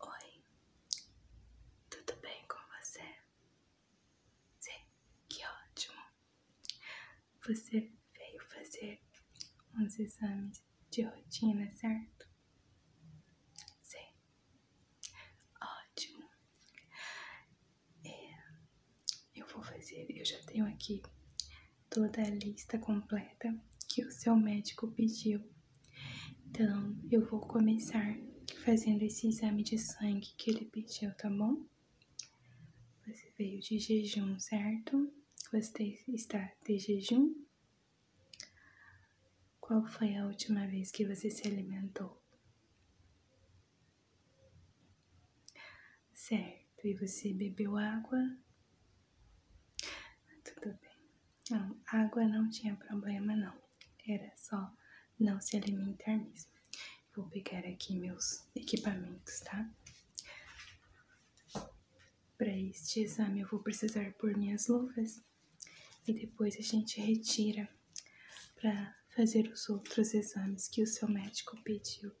Oi, tudo bem com você? Sim, que ótimo! Você veio fazer uns exames de rotina, certo? Sim, ótimo. É, eu vou fazer, eu já tenho aqui toda a lista completa que o seu médico pediu. Então, eu vou começar fazendo esse exame de sangue que ele pediu, tá bom? Você veio de jejum, certo? Você está de jejum? Qual foi a última vez que você se alimentou? Certo, e você bebeu água? Ah, tudo bem. Não, água não tinha problema, não. Era só não se alimentar mesmo. Vou pegar aqui meus equipamentos, tá? Para este exame, eu vou precisar pôr minhas luvas e depois a gente retira para fazer os outros exames que o seu médico pediu.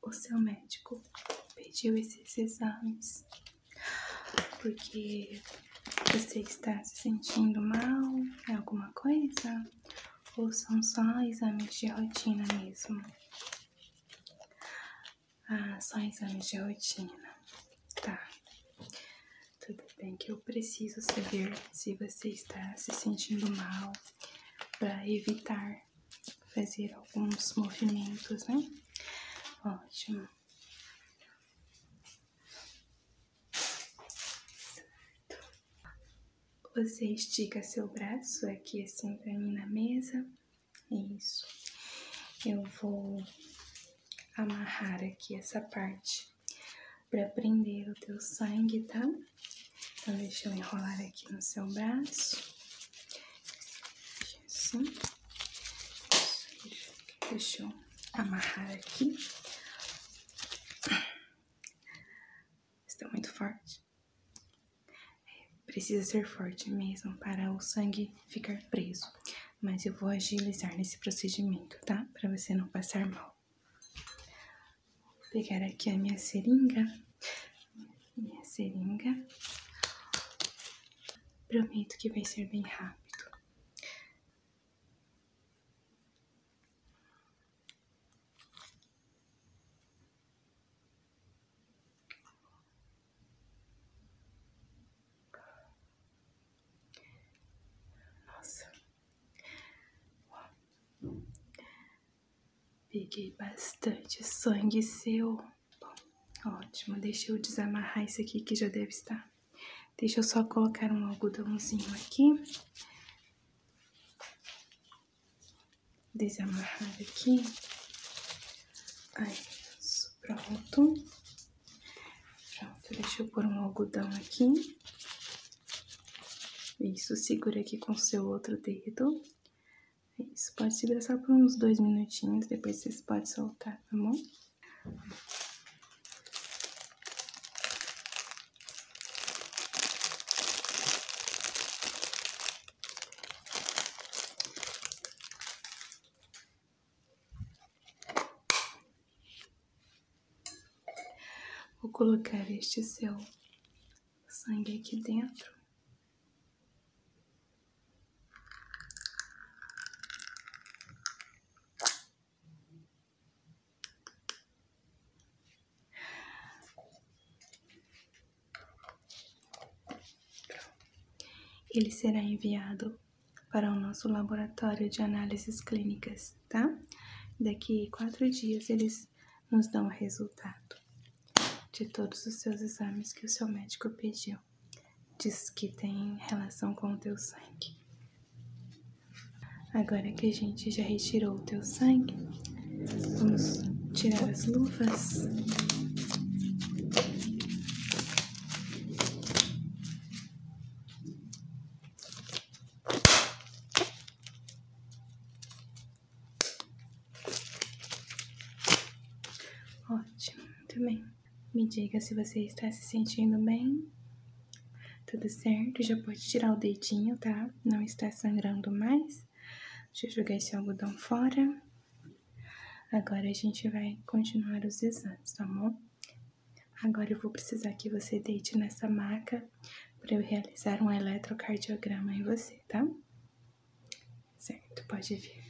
O seu médico pediu esses exames porque você está se sentindo mal, é alguma coisa? Ou são só exames de rotina mesmo? Ah, só exames de rotina. Tá. Tudo bem que eu preciso saber se você está se sentindo mal para evitar fazer alguns movimentos, né? Ótimo. Certo. Você estica seu braço aqui assim para mim na mesa. Isso. Eu vou amarrar aqui essa parte para prender o teu sangue, tá? Então, deixa eu enrolar aqui no seu braço. Assim. Deixa eu amarrar aqui. Está muito forte. É, precisa ser forte mesmo para o sangue ficar preso mas eu vou agilizar nesse procedimento, tá? Para você não passar mal. Vou pegar aqui a minha seringa, minha seringa. Prometo que vai ser bem rápido. Nossa. Peguei bastante sangue seu. Bom, ótimo. Deixa eu desamarrar isso aqui que já deve estar. Deixa eu só colocar um algodãozinho aqui. Desamarrar aqui. Aí, pronto. Pronto, deixa eu pôr um algodão aqui. Isso, segura aqui com o seu outro dedo. Isso, pode segurar só por uns dois minutinhos, depois vocês podem soltar, tá bom? Vou colocar este seu sangue aqui dentro. Ele será enviado para o nosso laboratório de análises clínicas, tá? Daqui quatro dias eles nos dão o resultado de todos os seus exames que o seu médico pediu. Diz que tem relação com o teu sangue. Agora que a gente já retirou o teu sangue, vamos tirar as luvas. Ótimo, muito bem. Me diga se você está se sentindo bem. Tudo certo, já pode tirar o dedinho, tá? Não está sangrando mais. Deixa eu jogar esse algodão fora. Agora a gente vai continuar os exames, tá bom? Agora eu vou precisar que você deite nessa maca para eu realizar um eletrocardiograma em você, tá? Certo, pode vir.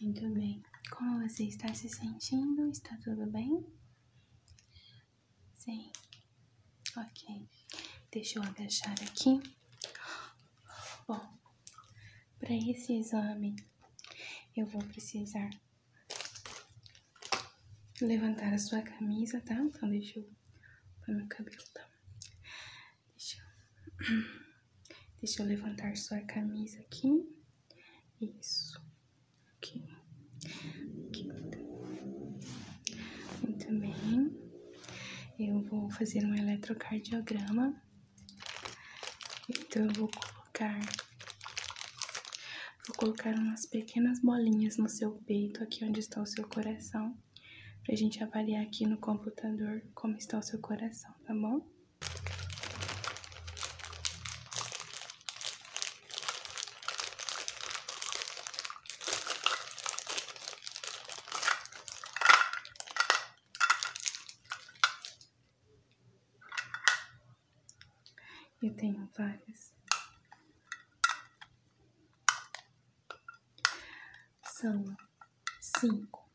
Muito bem. Como você está se sentindo? Está tudo bem? Sim. Ok. Deixa eu agachar aqui. Bom, para esse exame, eu vou precisar levantar a sua camisa, tá? Então, deixa eu pôr meu cabelo, tá? Deixa eu... levantar sua camisa aqui. Isso. Aqui. Aqui. Tá? Muito bem. Eu vou fazer um eletrocardiograma então eu vou colocar Vou colocar umas pequenas bolinhas no seu peito, aqui onde está o seu coração, pra gente avaliar aqui no computador como está o seu coração, tá bom? Eu tenho várias. São cinco.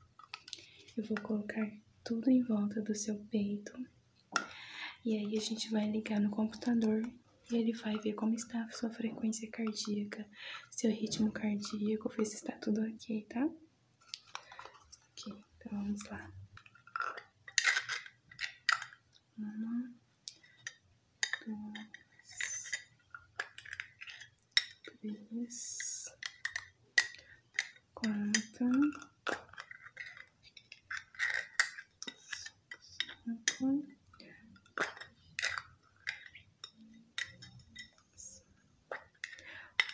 Eu vou colocar tudo em volta do seu peito. E aí a gente vai ligar no computador e ele vai ver como está a sua frequência cardíaca seu ritmo cardíaco, ver se está tudo ok, tá? Ok, então vamos lá. Uma, duas, três, quatro. cinco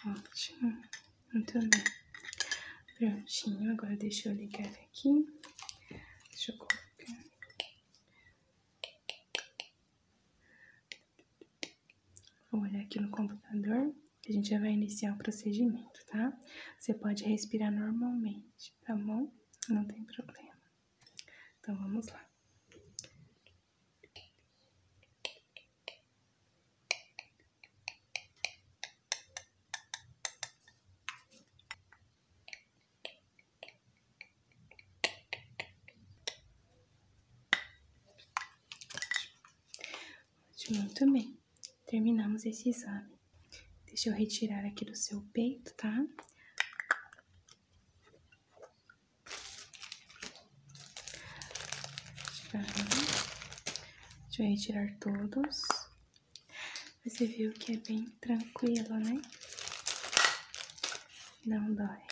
Ótimo, muito bem. Prontinho, agora deixa eu ligar aqui. Deixa eu copiar. Vou olhar aqui no computador. A gente já vai iniciar o procedimento, tá? Você pode respirar normalmente, tá bom? Não tem problema. Então vamos lá. Muito bem, terminamos esse exame. Deixa eu retirar aqui do seu peito, tá? Deixa eu retirar todos. Você viu que é bem tranquilo, né? Não dói.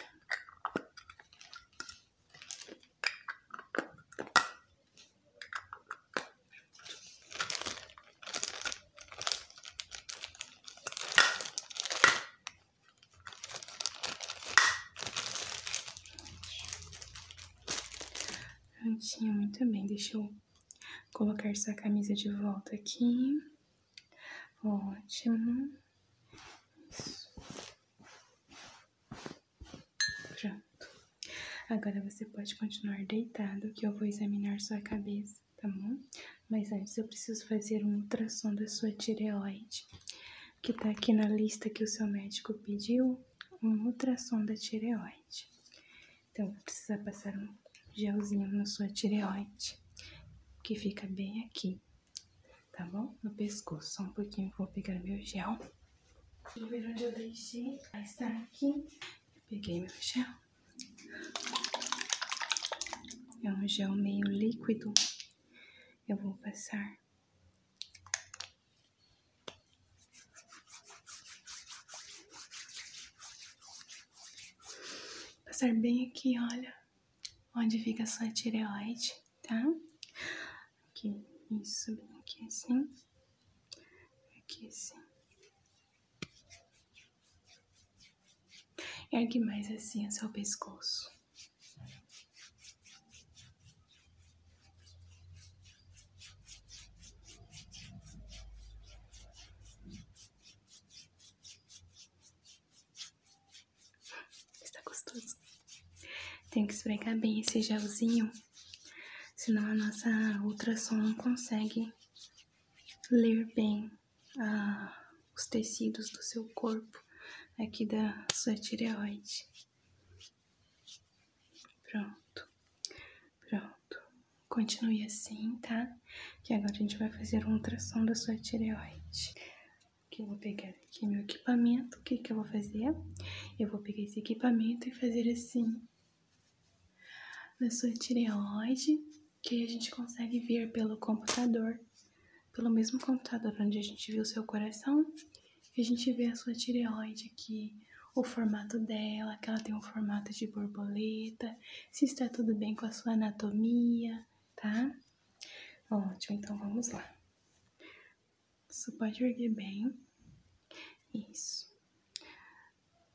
Prontinho, muito bem. Deixa eu colocar sua camisa de volta aqui. Ótimo. Isso. Pronto. Agora você pode continuar deitado que eu vou examinar sua cabeça tá bom? Mas antes eu preciso fazer um ultrassom da sua tireoide, que tá aqui na lista que o seu médico pediu, um ultrassom da tireoide. Então, vou precisar passar um gelzinho na sua tireoide, que fica bem aqui, tá bom? No pescoço, só um pouquinho, vou pegar meu gel. Deixa onde eu deixei, vai estar aqui. Peguei meu gel. É um gel meio líquido. Eu vou passar passar bem aqui, olha, onde fica a sua tireoide, tá? Aqui, isso, aqui assim, aqui assim. Ergue mais assim o seu pescoço. Está gostoso. Tem que esfregar bem esse gelzinho, senão a nossa ultrassom não consegue ler bem ah, os tecidos do seu corpo, aqui da sua tireoide. Pronto, pronto. Continue assim, tá? Que agora a gente vai fazer uma ultrassom da sua tireoide. que eu vou pegar aqui meu equipamento. O que que eu vou fazer? Eu vou pegar esse equipamento e fazer assim na sua tireoide que a gente consegue ver pelo computador, pelo mesmo computador onde a gente viu seu coração, a gente vê a sua tireoide aqui, o formato dela, que ela tem um formato de borboleta, se está tudo bem com a sua anatomia, tá? Ótimo, então vamos lá. Você pode erguer bem. Isso.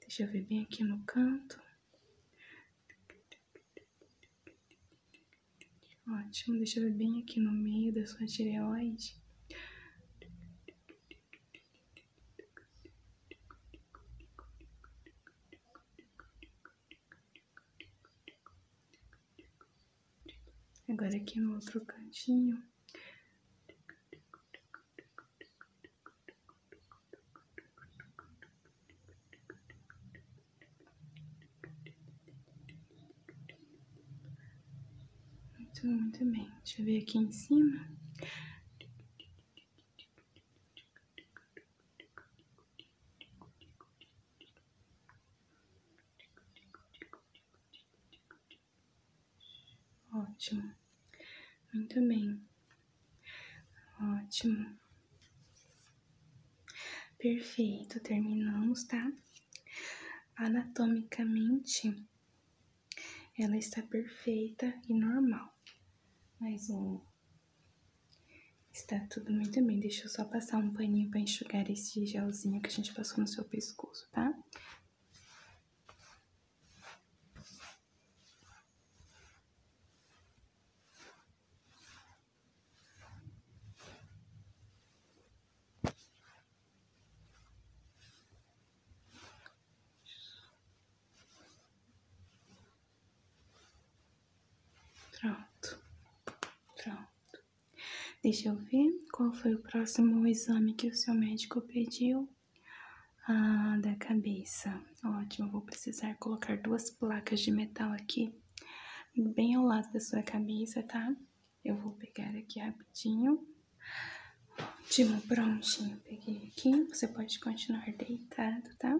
Deixa eu ver bem aqui no canto. Ótimo, deixa eu ver bem aqui no meio da sua tireoide. Agora aqui no outro cantinho. Muito, muito bem. Deixa eu ver aqui em cima. Ótimo. Muito bem. Ótimo. Perfeito, terminamos, tá? Anatomicamente, ela está perfeita e normal. Mais um. Está tudo muito bem. Deixa eu só passar um paninho para enxugar esse gelzinho que a gente passou no seu seu pescoço, tá? Pronto, pronto. Deixa eu ver qual foi o próximo exame que o seu médico pediu. Ah, da cabeça. Ótimo, vou precisar colocar duas placas de metal aqui, bem ao lado da sua cabeça, tá? Eu vou pegar aqui rapidinho. Ótimo, prontinho, peguei aqui. Você pode continuar deitado, tá?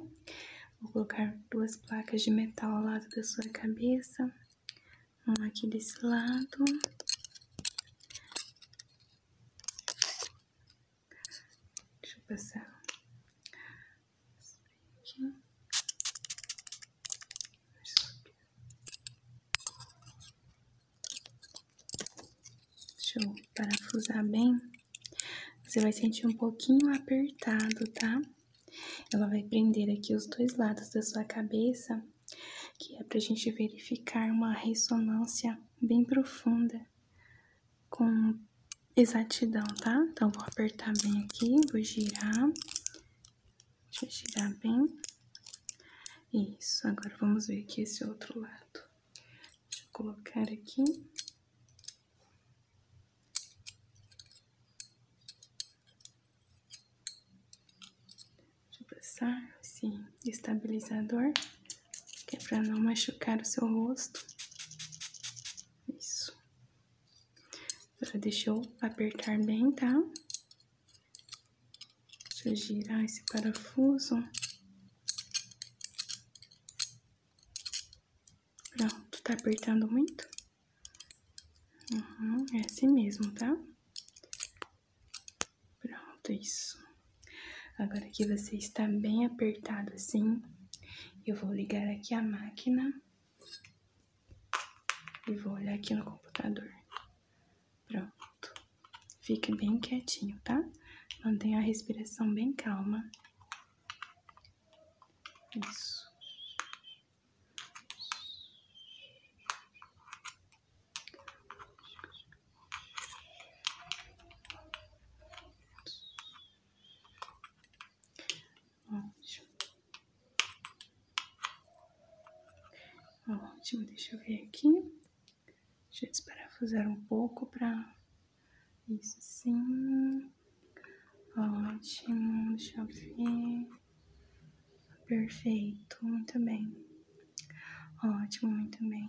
Vou colocar duas placas de metal ao lado da sua cabeça um aqui desse lado. Deixa eu passar. Aqui. Deixa eu parafusar bem. Você vai sentir um pouquinho apertado, tá? Ela vai prender aqui os dois lados da sua cabeça, que é para a gente verificar uma ressonância bem profunda com exatidão, tá? Então, vou apertar bem aqui, vou girar. Deixa eu girar bem. Isso, agora vamos ver aqui esse outro lado. Deixa eu colocar aqui. Deixa eu passar esse estabilizador, que é para não machucar o seu rosto. Isso. Agora deixa eu apertar bem, tá? Deixa eu girar esse parafuso. Pronto, tá apertando muito? Uhum, é assim mesmo, tá? Pronto, isso. Agora que você está bem apertado assim, eu vou ligar aqui a máquina e vou olhar aqui no computador. Pronto. Fique bem quietinho, tá? Mantenha a respiração bem calma. Isso. Ótimo. Tá ótimo, deixa eu ver aqui. Deixa eu desparafusar um pouco para isso sim. Ótimo, deixa eu ver. Perfeito, muito bem. Ótimo, muito bem.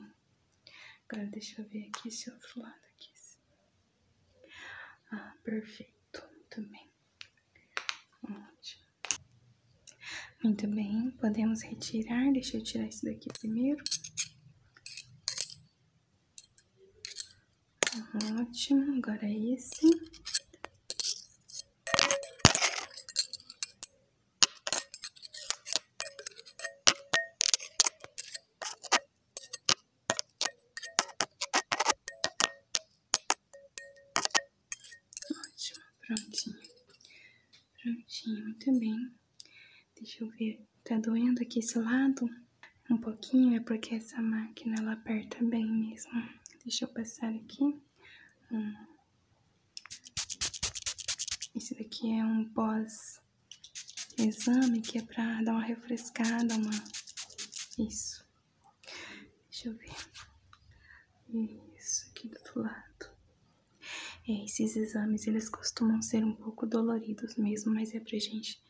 Agora deixa eu ver aqui esse outro lado aqui. Ah, perfeito, muito bem. Ótimo. Muito bem, podemos retirar. Deixa eu tirar isso daqui primeiro. Ótimo, agora é isso Ótimo, prontinho. Prontinho, muito bem. Deixa eu ver, tá doendo aqui esse lado? um pouquinho é porque essa máquina ela aperta bem mesmo. Deixa eu passar aqui. Hum. Esse daqui é um pós-exame que é pra dar uma refrescada, uma... Isso. Deixa eu ver. Isso aqui do outro lado. É, esses exames, eles costumam ser um pouco doloridos mesmo, mas é pra gente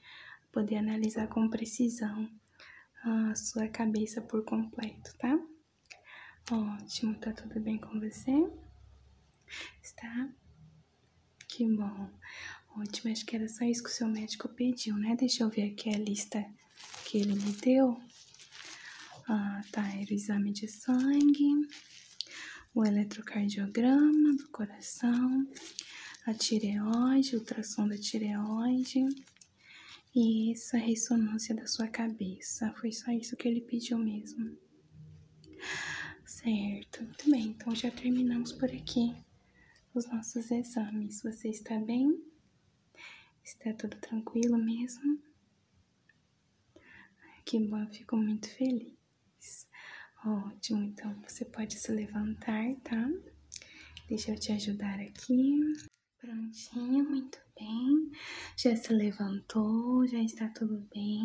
poder analisar com precisão a sua cabeça por completo, tá? Ótimo, tá tudo bem com você? Está? Que bom. Ótimo, acho que era só isso que o seu médico pediu, né? Deixa eu ver aqui a lista que ele me deu. Ah, tá, o exame de sangue, o eletrocardiograma do coração, a tireoide, ultrassom da tireoide e essa ressonância da sua cabeça. Foi só isso que ele pediu mesmo. Certo, muito bem. Então já terminamos por aqui os nossos exames. Você está bem? Está tudo tranquilo mesmo? Que bom, fico muito feliz. Ótimo, então você pode se levantar, tá? Deixa eu te ajudar aqui. Prontinho, muito bem. Já se levantou, já está tudo bem.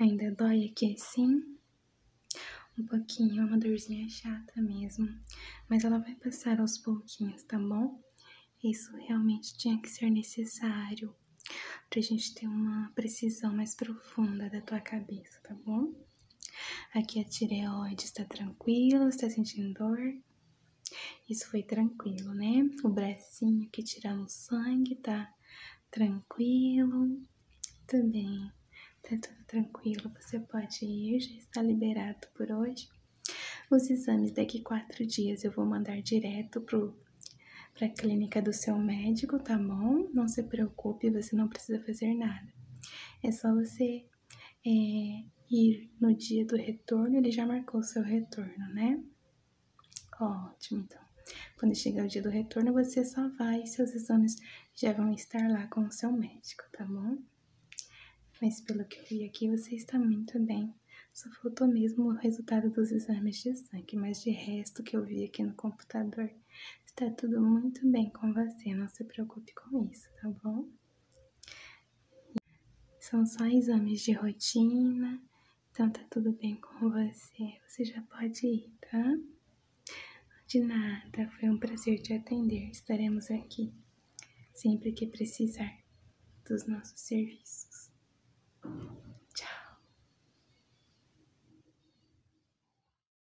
Ainda dói aqui assim? Um pouquinho, é uma dorzinha chata mesmo. Mas ela vai passar aos pouquinhos, tá bom? Isso realmente tinha que ser necessário para a gente ter uma precisão mais profunda da tua cabeça, tá bom? Aqui a é tireoide está tranquila, está sentindo dor? Isso foi tranquilo, né? O bracinho que tiramos sangue está tranquilo. Tudo bem, tá tudo tranquilo. Você pode ir, já está liberado por hoje. Os exames daqui quatro dias eu vou mandar direto pro para a clínica do seu médico, tá bom? Não se preocupe, você não precisa fazer nada. É só você é, ir no dia do retorno, ele já marcou o seu retorno, né? Ótimo, então. Quando chegar o dia do retorno, você só vai, e seus exames já vão estar lá com o seu médico, tá bom? Mas pelo que eu vi aqui, você está muito bem. Só faltou mesmo o resultado dos exames de sangue, mas de resto que eu vi aqui no computador Está tudo muito bem com você, não se preocupe com isso, tá bom? São só exames de rotina, então está tudo bem com você. Você já pode ir, tá? De nada, foi um prazer te atender. Estaremos aqui sempre que precisar dos nossos serviços. Tchau!